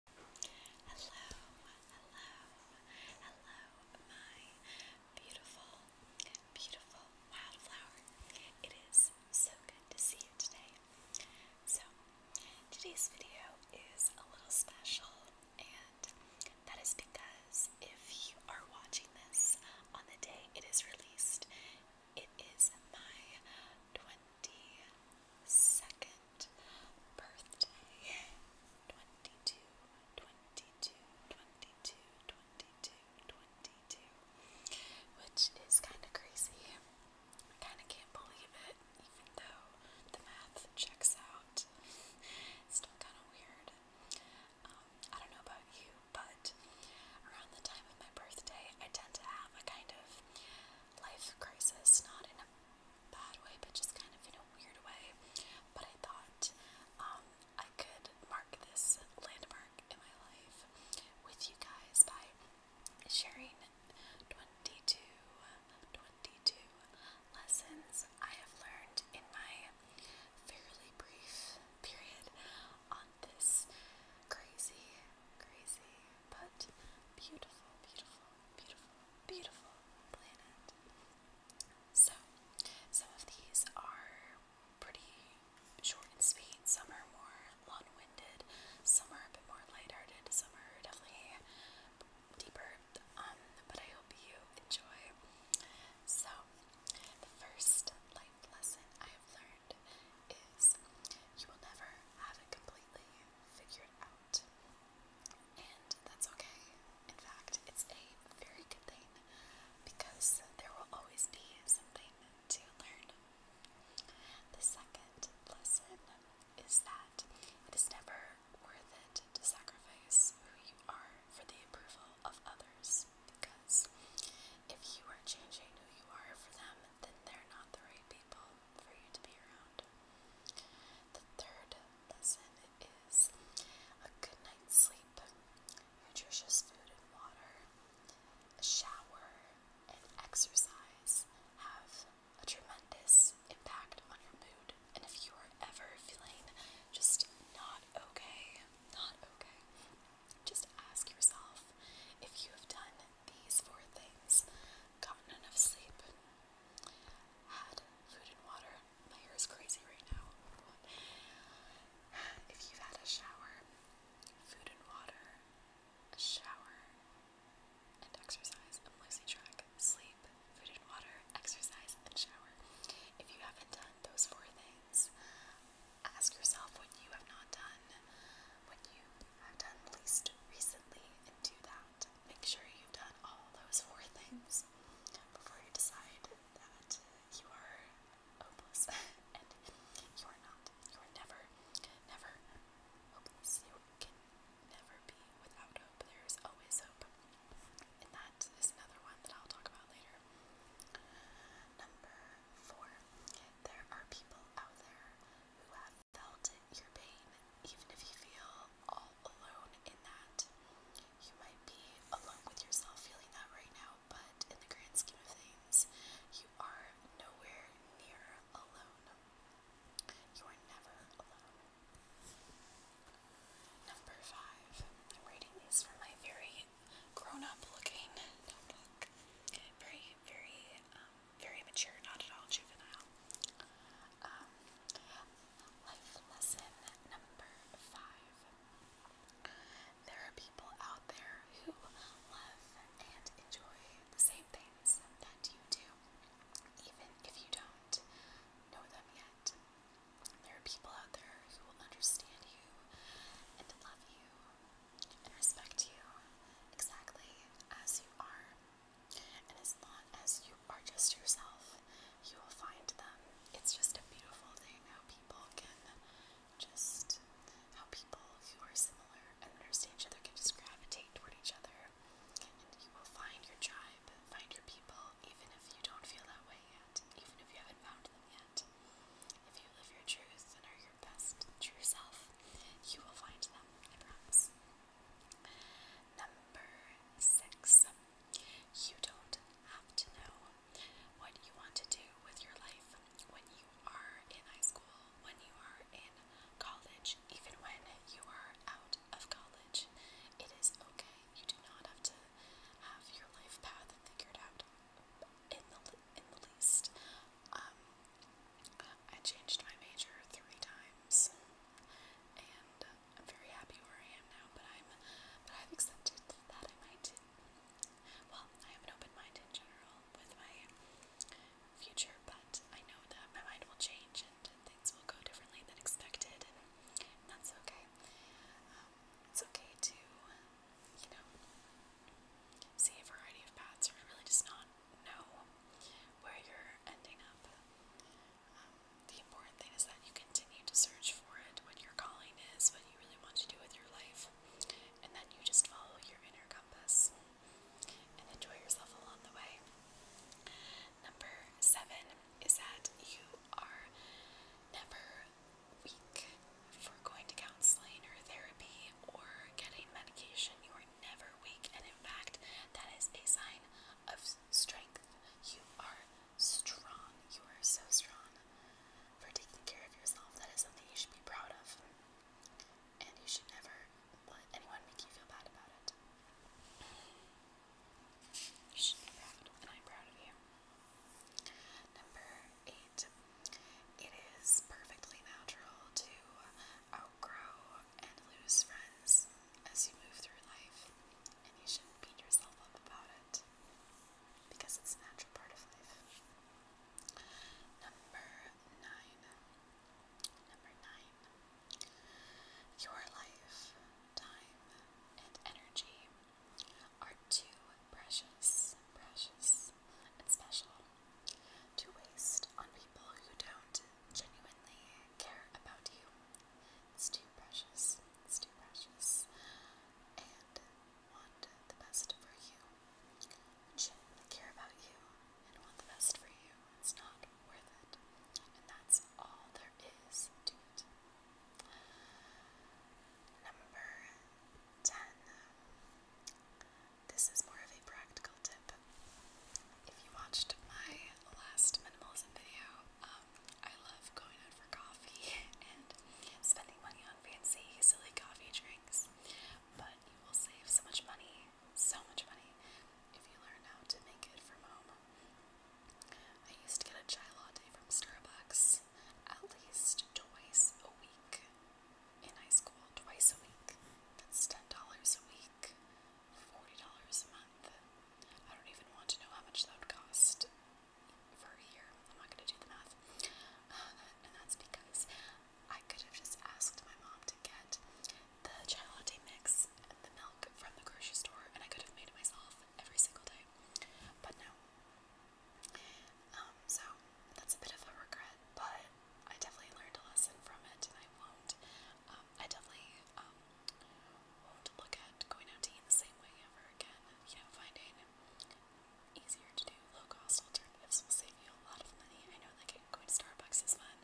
Hello, hello, hello, my beautiful, beautiful wildflower. It is so good to see you today. So, today's video is a little special, and that is because if you are watching this on the day it is released, it is my 20 22nd birthday. 22, Which is kind of crazy. I kind of can't believe it, even though the math checks out. still kind of weird. Um, I don't know about you, but around the time of my birthday, I tend to have a kind of life crisis, not in a bad way, but just kind of in a weird way. But I thought um, I could mark this landmark in my life with you guys by sharing 22, 22 lessons I have learned in my fairly brief period on this crazy, crazy but beautiful, beautiful, beautiful, beautiful planet. So, some of these are pretty short and sweet, some are more long winded, some are a bit more lighthearted, some are definitely deeper. Um, but I hope you enjoy. So, the first life lesson I have learned is you will never have it completely figured out. And that's okay. In fact, it's a very good thing because there will always be something to learn. The second lesson is that it is never worth it to sacrifice who you are for the approval of others because if you are changing who you are for them, then they're not the right people for you to be around. The third lesson is a good night's sleep, nutritious food and water, a shower, and exercise have a tremendous impact on your mood. And if you are ever feeling just not okay, not okay, just ask yourself if you have done these four things gotten enough sleep, had food and water. My hair is crazy right now. If you've had a shower, food and water, a shower, and exercise, I'm losing track. Sleep, food and water, exercise, and shower. If you haven't done those four things, ask yourself what you have not done, what you have done least recently, and do that make sure you've done all those four things before you decide that you are hopeless. and you are not. You are never, never hopeless. You can never be without hope. There is always hope. And that is another one that I'll talk about later. Number four, there are people out there who have felt your pain, even if you feel all alone in that. You might be alone with yourself feeling that right now, but in the grand scheme of things, you are nowhere near alone. You are never alone. Number five. I'm reading these from my very grown up looking notebook. Very, very um, very mature, not at all juvenile. Um, life lesson number five. There are people out there who love and enjoy the same things that you do, even if you don't know them yet. There are people out there who will understand you and love you and respect you exactly as you are. And as long as you are just yourself, you will find them. It's just a beautiful thing how people can just, how people who are similar and understand each other can just gravitate toward each other. And you will find your tribe, find your people, even if you don't feel that way yet, even if you haven't found them yet. If you live your truth and are your best true self, you will find them, I promise. Number six, you don't have to know what you want to do with your life when you are in high school, when you are in college, even when you are out of college. It is okay. You do not have to have your life path figured out in the in the least. Um, I changed my major three times and uh, I'm very happy where I am now. But I'm, but I've accepted that I might. Well, I am an open mind in general with my future, but I know that my mind will change and things will go differently than expected, and, that's okay. Um, it's okay to, you know, see a variety of paths or really just not know where you're ending up. Um, the important thing is that you continue to search for it, what your calling is, what you really want to do with your life, and then you just follow your inner compass and enjoy yourself along the way. Number seven is that you are never weak for going to counseling or therapy or getting medication. You are never weak, and in fact, that is a sign of strength. You are strong. You are so strong for taking care of yourself. That is something you should be proud of. And you should never let anyone make you feel bad about it. You should be proud, and I'm proud of you. Number eight. It is perfectly natural to outgrow and lose friends as you move through life, and you shouldn't beat yourself up about it because it's a natural part of life. Number nine. Number nine. Your life, time, and energy are too precious, precious, and special to waste on people who don't genuinely care about you. It's too precious. It's too precious. And want the best for you. And shouldn't care about you and want the best for you. It's not worth it. And that's all there is to it. Number 10. This is more of a practical tip if you watched my last minimalism video, um, I love going out for coffee and spending money on fancy, silly coffee drinks. But you will save so much money, so much money, if you learn how to make it from home. I used to get a chai latte from Starbucks at least twice a week in high school. Twice a week. That's $10 a week forty dollars a month. I don't even want to know how much that would cost for a year. I'm not gonna do the math, uh, and that's because I could have just asked my mom to get the chai latte mix and the milk from the grocery store, and I could have made it myself every single day. But no. Um, so that's a bit of a regret, but I definitely learned a lesson from it, and I won't uh, um, I definitely um, won't look at going out to eat the same way ever again. You know, finding easier to do low-cost alternatives will save you a lot of money. I know, like, going to Starbucks is fun,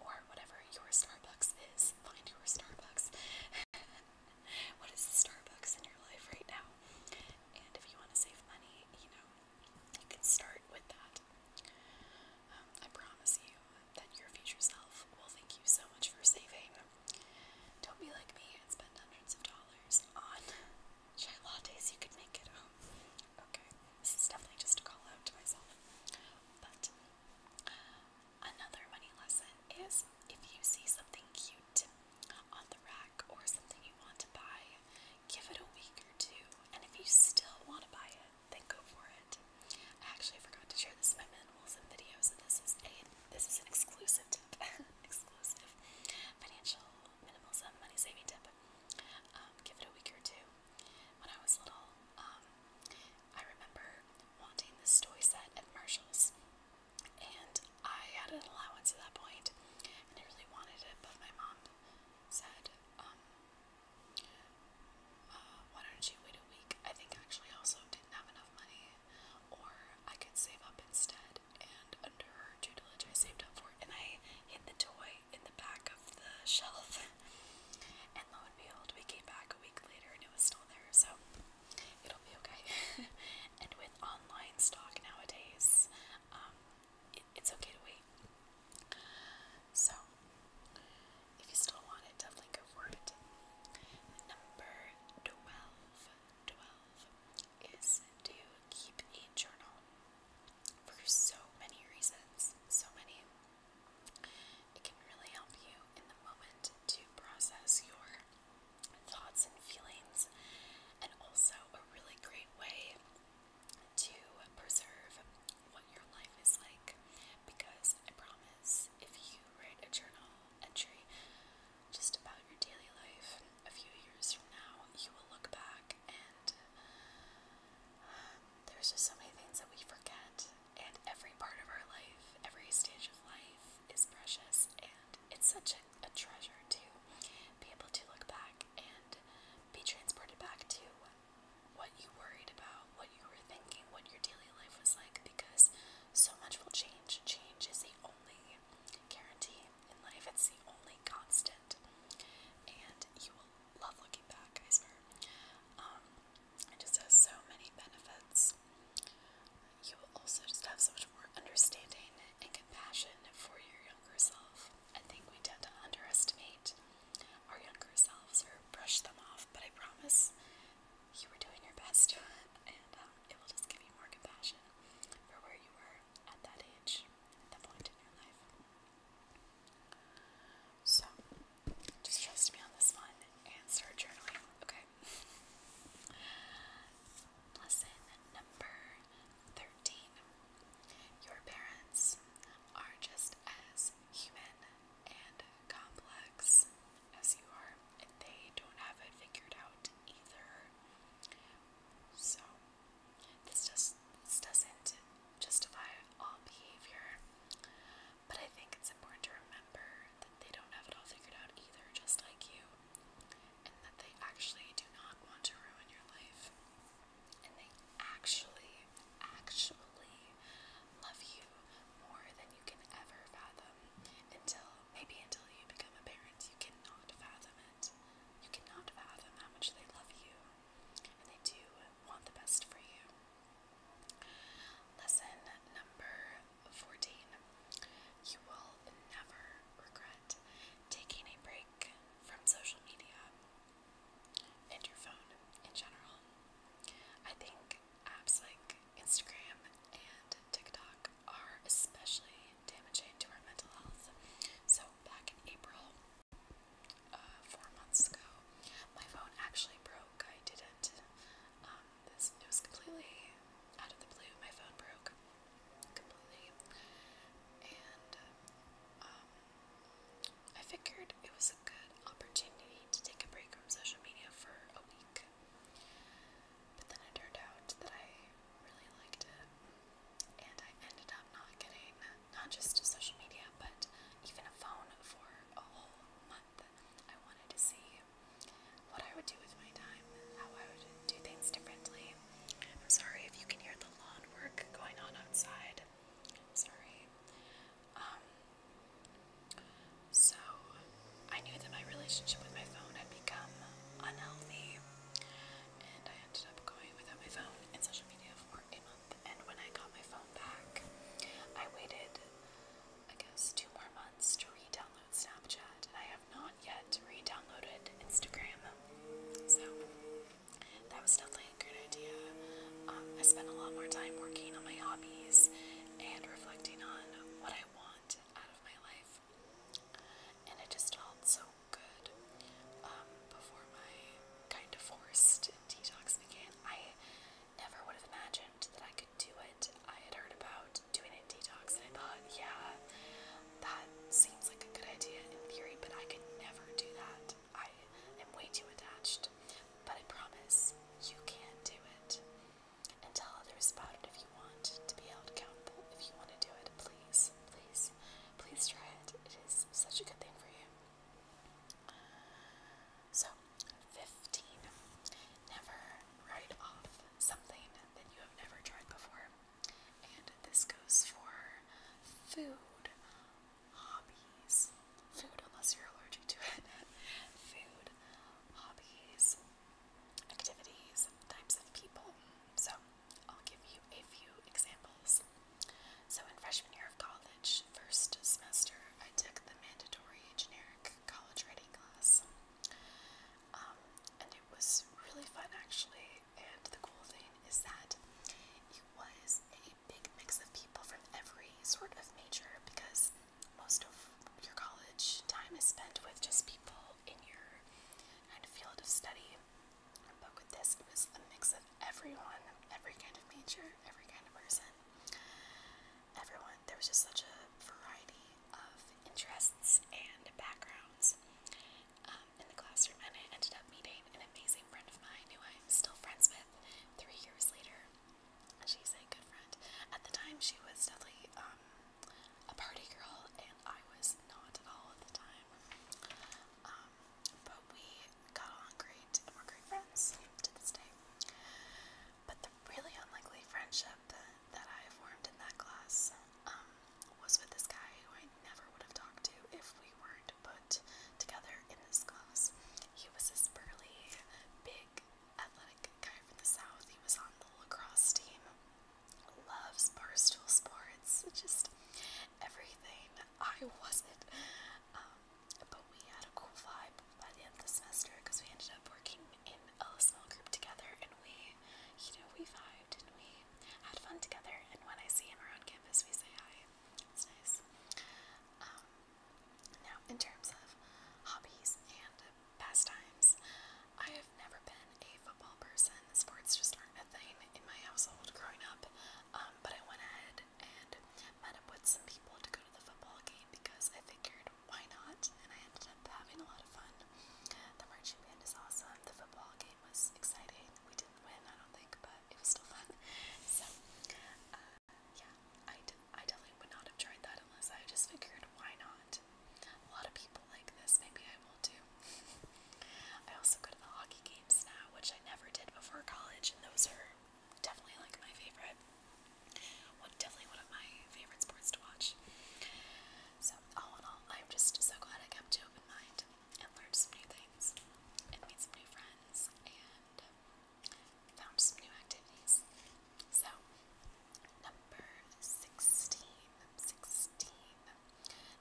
or whatever your Starbucks is. Find your Starbucks. what is the Starbucks in your life right now? And if you want to save money, you know, you can start with that. Um, I promise you, that your future self will thank you so much for saving. Don't be like me and spend hundreds of dollars on chai lattes you could make at home. Okay, this is definitely just a call out to myself. But another money lesson is if you see something cute on the rack or something you want to buy, give it a week or two, and if you still want to buy it, then go for it. I actually forgot to share this in my minimalism video, so this is a this is an exclusive tip, exclusive financial minimalism money saving tip. Um, give it a week or two. When I was little, um, I remember wanting this toy set at Marshalls, and I had an allowance at that point, and I really wanted it, but my mom said, um, uh, why don't you wait a week? I think actually also didn't have enough money, or I could save up instead. And under her tutelage, I saved up for it, and I hid the toy in the back of the shelf. and lo and behold, we came back a week later, and it was still there. So it'll be okay. and with online stock nowadays, um, it's okay to wait. So, if you still want it, definitely go for it. Number 12. is to keep a journal for so many reasons. So many. It can really help you in the moment to process your thoughts and feelings, and also a really great way to preserve. What what your life is like because I promise if you write a journal entry just about your daily life a few years from now, you will look back and uh, there's just so many things that we forget. And every part of our life, every stage of life is precious, and it's such a, a treasure to be able to look back and be transported back to what you worried about, what you were thinking, what your daily life was like, because so much will change. Change is the only guarantee in life, it's the only constant. And you will love looking back, I swear. Um, it just has so many benefits. You will also just have so much more understanding and compassion for your younger self. I think we tend to underestimate our younger selves or brush them off, but I promise you were doing your best, and um, it will just give you more compassion for where you were at that age, at that point in your life. So, just trust me on this one and start journaling, okay? Lesson number 13 Your parents are just as human and complex as you are, and they don't have it figured out either. So this just this doesn't justify all behavior, but I think it's important to remember that they don't have it all figured out either, just like you, and that they actually do not want to ruin your life, and they actually, actually love you more than you can ever fathom until maybe until you become a parent you cannot fathom it. You cannot fathom how much they love you and they do want the best for you. Lesson number 14. You will never regret taking a break from social media and your phone in general. I think apps like Instagram and TikTok are especially damaging to our mental health. So, back in April, uh, four months ago, my phone actually broke. I didn't. Um, this, it was completely out of the blue. My phone broke completely. And um, I figured it was good opportunity to take a break from social media for a week. But then it turned out that I really liked it, and I ended up not getting not just social media, but even a phone for a whole month. I wanted to see what I would do with my time, how I would do things differently. I'm sorry if you can hear the lawn work going on outside. Sorry. Um, so I knew that my relationship with my phone had become unhealthy, and I ended up going without my phone and social media for a month. And when I got my phone back, I waited, I guess, two more months to re download Snapchat, and I have not yet re downloaded Instagram. So that was definitely a good idea. Um, I spent a lot more time working on my hobbies and reflecting on what I want out of my life. And it just felt so good um, before my kind of forced detox began. I never would have imagined that I could do it. I had heard about doing a detox and I thought, yeah, that seems like a good idea in theory, but I could never do that. I am way too attached but I promise, you can do it. And tell others about it if you want to be held accountable. If you want to do it, please, please, please try it. It is such a good thing for you. So, 15. Never write off something that you have never tried before. And this goes for food, hobbies, food unless you're allergic to it. food, hobbies, activities, types of people. So I'll give you a few examples. So in freshman year of college, first semester, I took the mandatory generic college writing class. Um, and it was really fun actually. And the cool thing is that it was a pretty big mix of people from every sort of major because most of your college time is spent with just people in your kind of field of study. But with this, it was a mix of everyone, every kind of major, every kind of person. Everyone, there was just such a variety of interests and backgrounds um, in the classroom, and I ended up meeting an amazing friend of mine who I'm still friends with three years later. She's a good friend. At the time, she was definitely um, a party girl, and I was not at all at the time. Um, but we got on great, and we're great friends to this day. But the really unlikely friendship that I formed in that class um, was with this guy who I never would have talked to if we weren't put together in this class. He was this burly, big, athletic guy from the south. He was on the lacrosse team. Loves barstool sports. Just everything. I wasn't. Um, but we had a cool vibe by the end of the semester because we ended up working in a small group together and we, you know, we vibed and we had fun together. And when I see him around campus, we say hi. It's nice. Um, now, in terms of hobbies and pastimes, I have never been a football person. Sports just aren't a thing in my household growing up. Um, but I went ahead and met up with some people to go to the football game because I figured why not? And I ended up having a lot of fun. The marching band is awesome. The football game was exciting. We didn't win, I don't think, but it was still fun. So, uh, yeah, I, I definitely would not have tried that unless I just figured why not. A lot of people like this, maybe I will too. I also go to the hockey games now, which I never did before college, and those are definitely like my favorite. Well, definitely one of my favorite sports to watch. So, all in all, I'm just so glad I kept an open mind and learned some new things and made some new friends and found some new activities. So, number 16,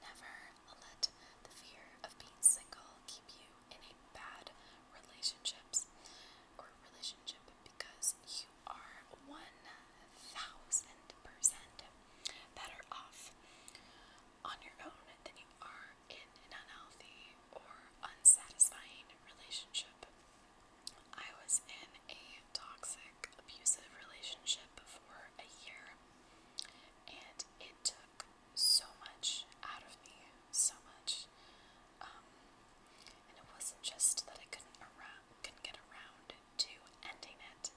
Never let the fear of being single keep you in a bad relationships or relationship because you are 1000% better off on your own than you are in an unhealthy or unsatisfying relationship. I was in a toxic, abusive relationship for a year, and it took so much out of me, so much. Um, and it wasn't just that I couldn't around, couldn't get around to ending it.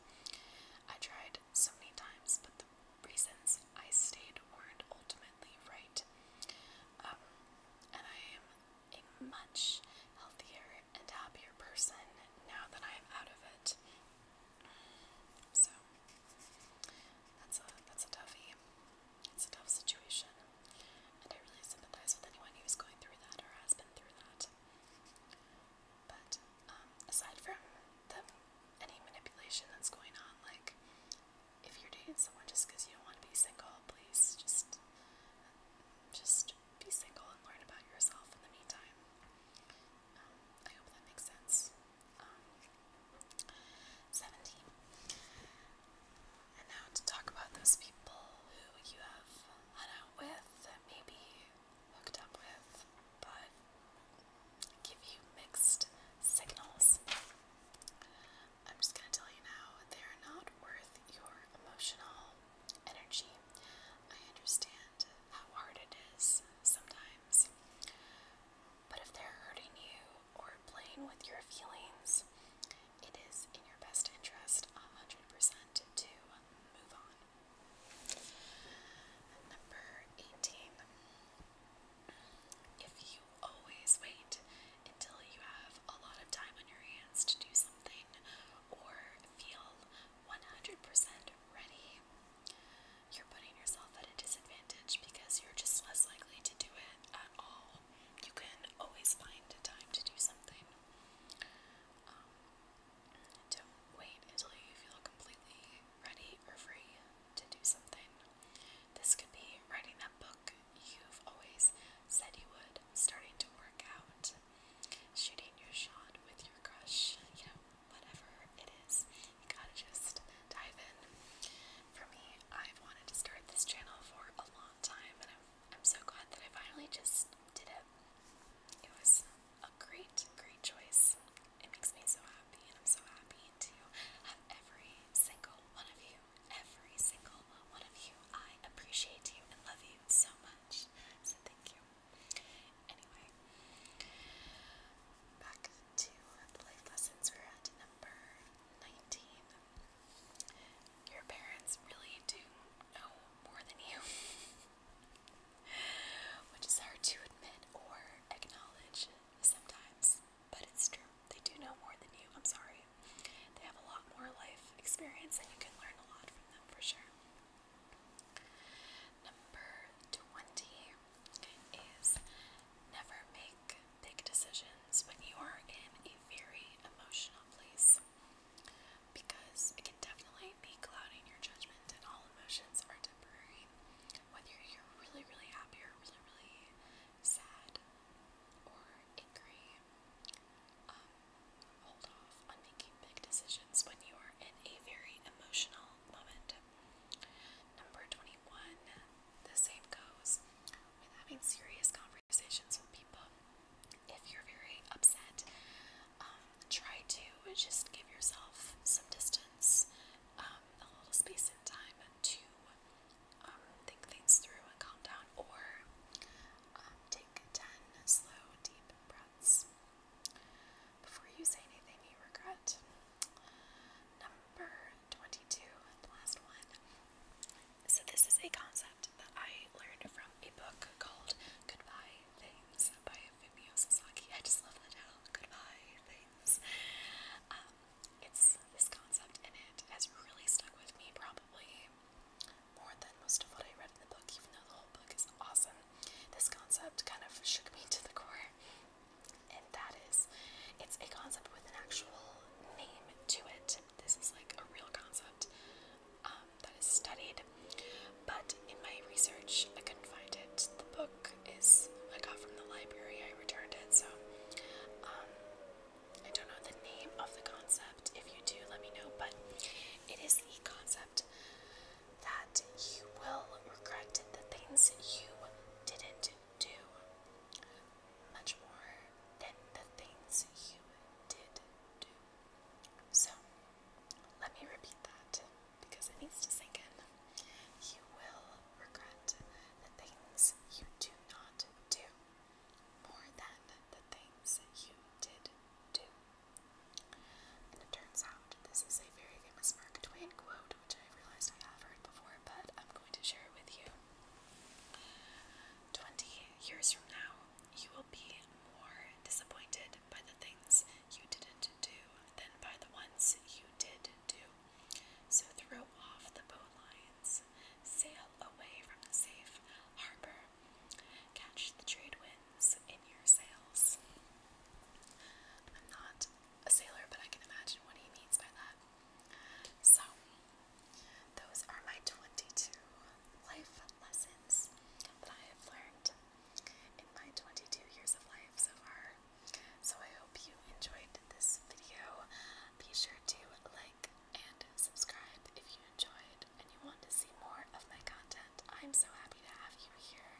I tried so many times, but the reasons I stayed weren't ultimate ultimately right. Um, and I am a much healthier and happier person now that I am out of it. So that's a that's a toughie. It's a tough situation, and I really sympathize with anyone who's going through that or has been through that. But um, aside from the any manipulation that's going on, like if you're dating someone just because you don't want to be single, please just just be single and learn about yourself in the meantime. Um, I hope that makes sense. Um, 17. And now to talk about those people who you have hung out with, that maybe hooked up with, but give you mixed signals. I'm just going to tell you now, they are not worth your emotional energy. I understand how hard it is sometimes. But if they're hurting you or playing with your feelings, it is in your best interest 100% to move on. Number 18. If you always wait until you have a lot of time on your hands to do something or feel 100% ready. You're putting yourself at a disadvantage because you're just less likely to do it at all. You can always find a time to do something. Um, don't wait until you feel completely ready or free to do something. This could be writing that book like you've always said you would, starting to work out, shooting your shot with your crush, you know, whatever it is, you gotta just dive in. For me, I've wanted to start this channel for a long time, and I'm, I'm so glad that I finally just did it. It was a great, great choice. It makes me so happy, and I'm so happy to have every single one of you every single one of you. I appreciate you and love you so much. So thank you. Anyway, back to life lessons. We're at number 19. Your parents really do know more than you, which is hard to admit or acknowledge sometimes. But it's true. They do know more than you. I'm sorry. They have a lot more life experience and you can learn a lot from them for sure. Number 20 is never make big decisions when you are in a very emotional place because it can definitely be clouding your judgment and all emotions are temporary. Whether you're really, really happy or really, really sad or angry, um, hold off on making big decisions when you are in a very emotional moment. Number 21, the same goes with having serious conversations with people. If you're very upset, um, try to just give yourself some distance, um, a little space and time to um, think things through and calm down, or um, take 10 slow, deep breaths before you say anything you regret. Number 22, the last one. So, this is a concept that I learned from a book called Goodbye Things by Fumio Sasaki. I just love the title, Goodbye Things. Um, it's this concept in it has really stuck with me probably more than most of what I read in the book, even though the whole book is awesome. This concept kind of shook me to the core. And that is it's a concept with an actual name to it. This is like a real concept um, that is studied. But in my research I couldn't find it. The book is I got from the library, I returned it, so um, I don't know the name of the concept. If you do, let me know. But it is the concept that you will regret the things you didn't do much more than the things you did do. So, let me repeat that because it needs to sink in. You will regret the things you do not do more than the things that you did do. And it turns out this is a very famous Mark Twain quote, which I realized I have heard before, but I'm going to share it with you. Twenty years from now, you will be more disappointed by the things you didn't do than by the ones you did do. So throw off the bowline Sail away from the safe harbor. Catch the trade winds in your sails. I'm not a sailor, but I can imagine what he means by that. So, those are my 22 life lessons that I have learned in my 22 years of life so far. So, I hope you enjoyed this video. Be sure to like, and subscribe if you enjoyed and you want to see more of my content. I'm so happy to have you here.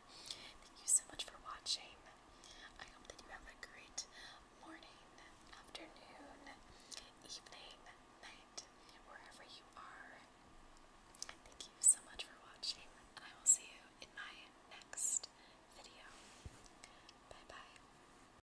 Thank you so much for watching. I hope that you have a great morning, afternoon, evening, night, wherever you are. Thank you so much for watching, and I will see you in my next video. Bye bye.